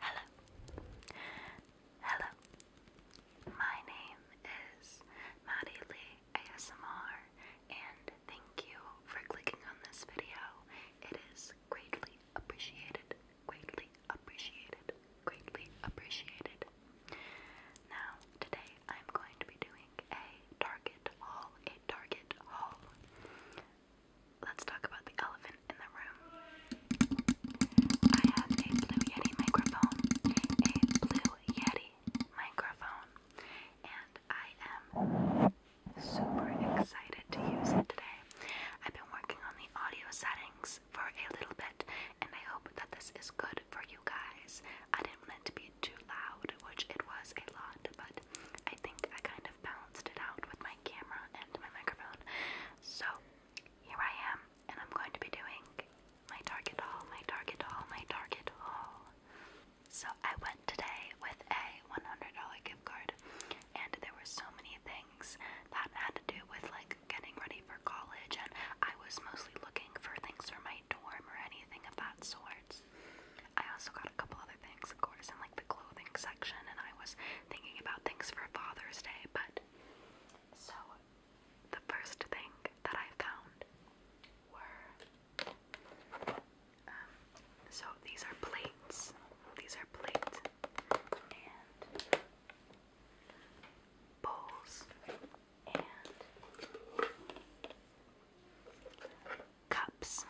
Hello. Hello. My name is Maddie Lee ASMR, and thank you for clicking on this video. It is greatly appreciated, greatly appreciated, greatly appreciated. Now, today I'm going to be doing a Target haul, a Target haul let's talk about the elephant in the room. I have a Blue Yeti microphone, a Blue Yeti microphone, and I am super excited to use it today. I've been working on the audio settings for a little bit, and I hope that this is good for you guys. I didn't want it to be too loud, which it was a lot, but I think I kind of balanced it out with my camera and my microphone. So here I am, and I'm going to be doing my Target haul, my Target haul, my Target haul. So I went today with a $100 gift card, and there were so many things that had to do with like getting ready for college, and I was mostly looking for things for my dorm or anything of that sort. I also got a couple other things, of course, in like the clothing section, and I was thinking about things for Father's Day, but so the first thing that I found were um, so these are plates. These are plates and bowls and cups.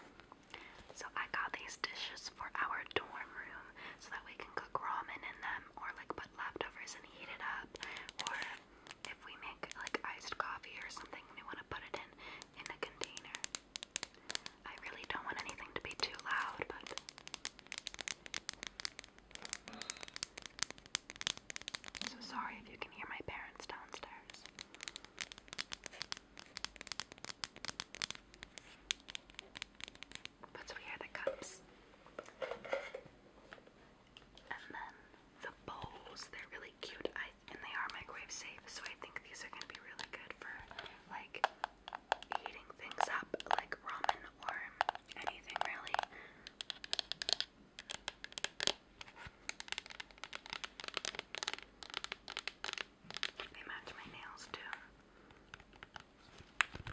So I got these dishes for our dorm room so that we can cook ramen in them or like put leftovers and heat it up or if we make like iced coffee or something we want to put it in in a container. I really don't want anything to be too loud but so sorry if you can hear my parents downstairs. But we had the cups. And then the bowls, they're really cute I, and they are microwave safe, so I think these are gonna be really good for like heating things up, like ramen or anything really. They match my nails too. And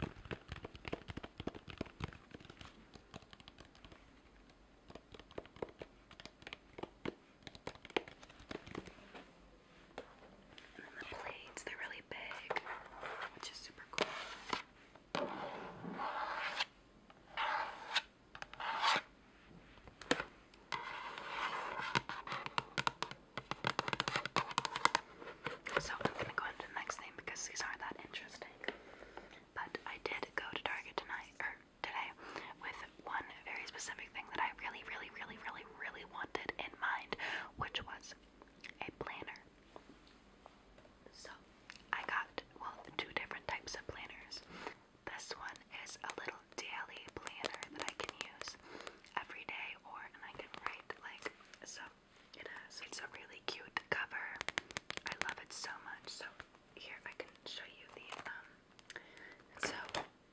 then the blades, they're really big, which is super cool. So I'm gonna go into the next thing because these aren't that interesting. But I did go to Target tonight or today with one very specific thing that I really, really, really, really, really wanted in mind, which was a planner. So I got well two different types of planners. This one is a little daily planner that I can use every day or and I can write like so it has it's a really cute cover. I love it so much. So here I can show you the um so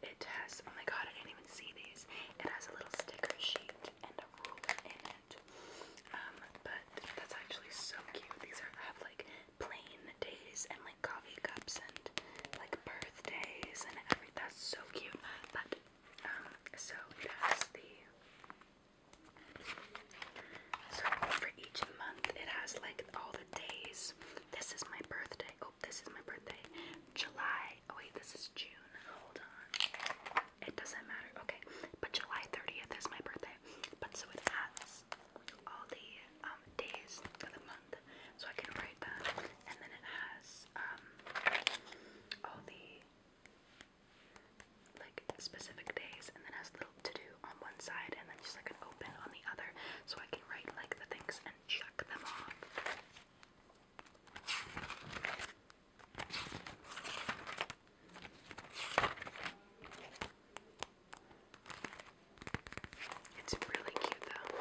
it has oh my god I didn't even see these. It has a little sticker sheet and a ruler in it. Um but that's actually so cute. These are have like plain days and like coffee cups and like birthdays and everything. That's so cute. But um, so it the so for each month it has like all the days. This is my birthday. Oh, this is my birthday. July. Oh wait, this is June. Hold on. It doesn't matter. Okay, but July 30th is my birthday. But so it has all the um, days for the month, so I can write that. And then it has um, all the like specific days, and then has little to do on one side, and then just like an open on the other, so I can write like the things and check them off. It's really cute though.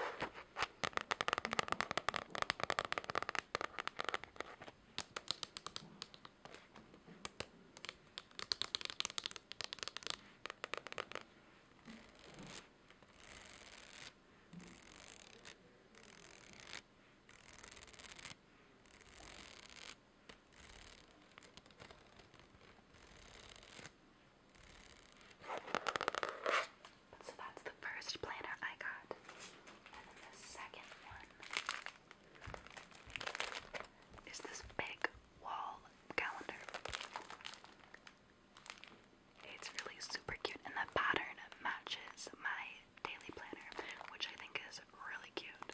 So that's the first planner I got. And the second one is this big wall calendar. It's really super cute, and the pattern matches my daily planner, which I think is really cute.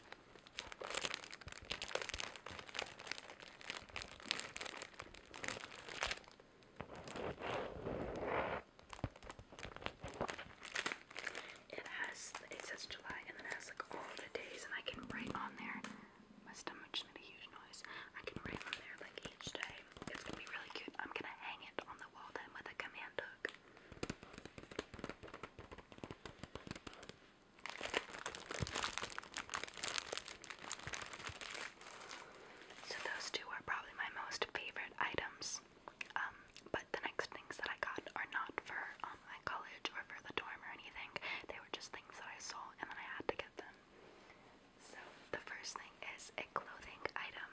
It has, it says July and then it has like all the days and I can write on there. My stomach made a huge noise. I can write on there like each day. It's gonna be really cute. I'm gonna hang it on the wall then with a command hook. So those two are probably my most favorite items. Um, but the next things that I got are not for um, my college or for the dorm or anything. They were just things that I saw and then I had to get them. So the first thing is a clothing item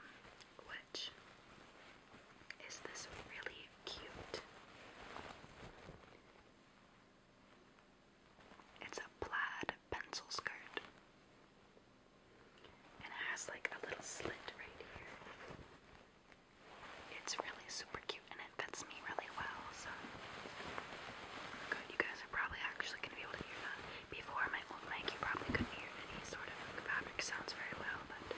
is this really cute. It's a plaid pencil skirt. And it has like a little slit right here. It's really super cute and it fits me really well, so oh good. You guys are probably actually gonna be able to hear that. Before my old mic you probably couldn't hear any sort of fabric sounds very well, but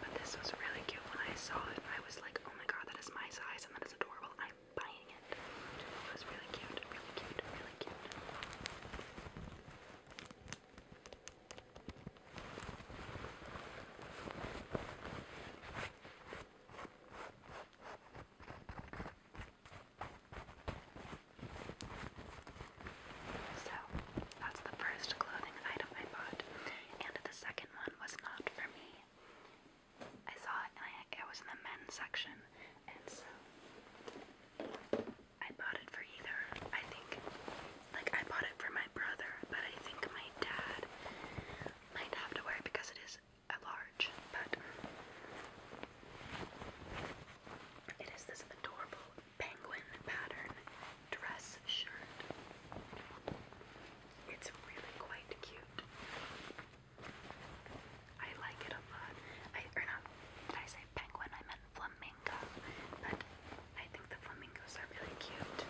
But this was really cute when I saw it. I was like, oh my god, that is my size and that is adorable. I'm buying it. It was really cute, really cute, really cute. So that's the first clothing item I bought, and the second one was not for me. I saw it it was in the men's section, and so I bought it for either. I think, like, I bought it for my brother, but I think my dad might have to wear it because it is a large, but it is this adorable penguin pattern dress shirt. It's really quite cute. I like it a lot. I or not did I say penguin? I meant flamingo, but I think the flamingos are really cute.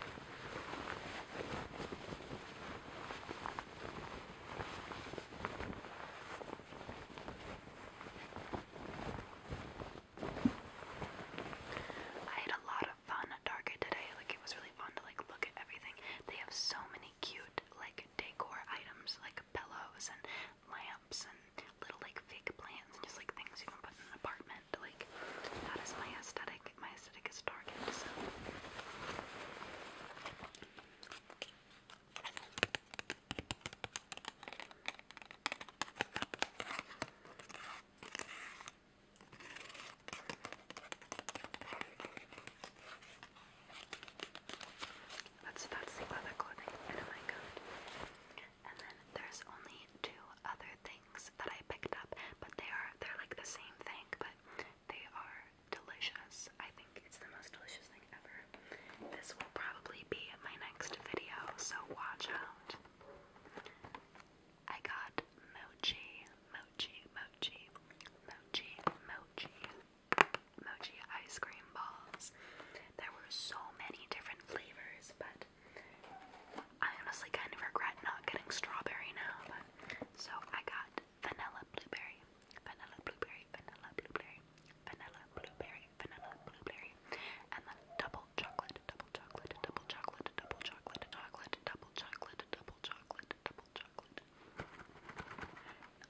I had a lot of fun at Target today. Like it was really fun to like look at everything. They have so many cute like decor items like pillows and lamps and little like fake plants and just like things you can put in an apartment. Like that is my aesthetic. My aesthetic is Target. So. That's that's the other clothing. Oh my god. And then there's only two other things that I picked up, but they are they're like the same thing, but they are delicious. I think it's the most delicious thing ever. This will probably be my next video, so watch out. I got mochi, mochi, mochi, mochi, mochi, mochi ice cream balls. There were so many different flavors, but I honestly kind of regret not getting strawberry now. But so I got vanilla blueberry, vanilla blueberry, vanilla blueberry, vanilla blueberry, vanilla blueberry, and then double chocolate, double chocolate, double chocolate, double chocolate, chocolate, double chocolate, double chocolate, double chocolate.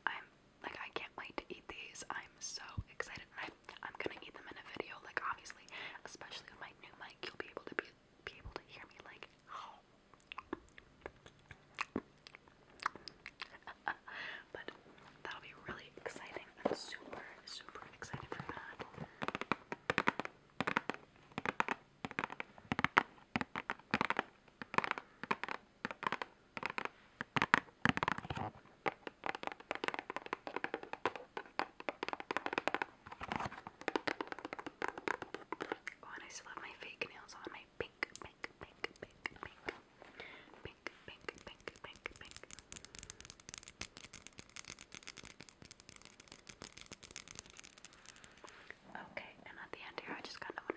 I'm like I can't wait to eat these. I'm so excited. And I, I'm gonna eat them in a video. Like obviously, especially with my new mic, you'll be able to be be able to hear me. Like, but that'll be really exciting. I'm super super excited for that. Oh, and I still have my fake nails on my pink, pink, pink, pink, pink, pink, pink, pink, pink, pink. Okay, and at the end here, I just kind of want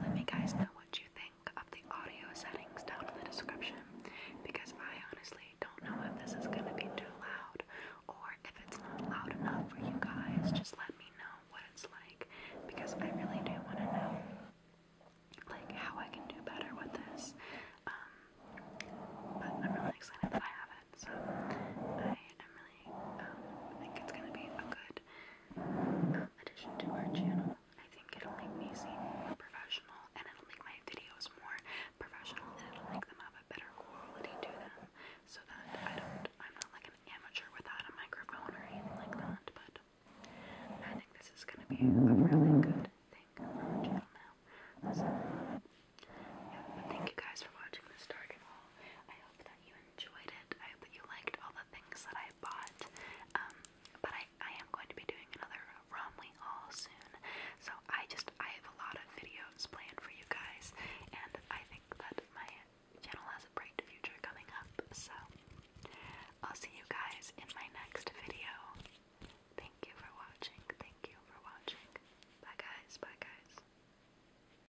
let me guys know what you think of the audio settings down in the description because I honestly don't know if this is going to be too loud or if it's not loud enough for you guys. Just let me know what it's like because I really do want to know like how I can do better with this. Um, but I'm really excited that I have it, so I really um, think it's gonna be a good addition to our channel. I think it'll make me seem more professional and it'll make my videos more professional and it'll make them have a better quality to them so that I don't, I'm not like an amateur without a microphone or anything like that, but I think this is going to be a really good thing for our channel now. So, yeah, but thank you guys for watching this start and I hope that you enjoyed it. I hope that you liked all the things that I bought. Um, but I, I am going to be doing another Romley haul soon. So I just, I have a lot of videos planned for you guys. And I think that my channel has a bright future coming up. So I'll see you guys in my next video. Thank you for watching. Thank you for watching. Bye guys. Bye guys.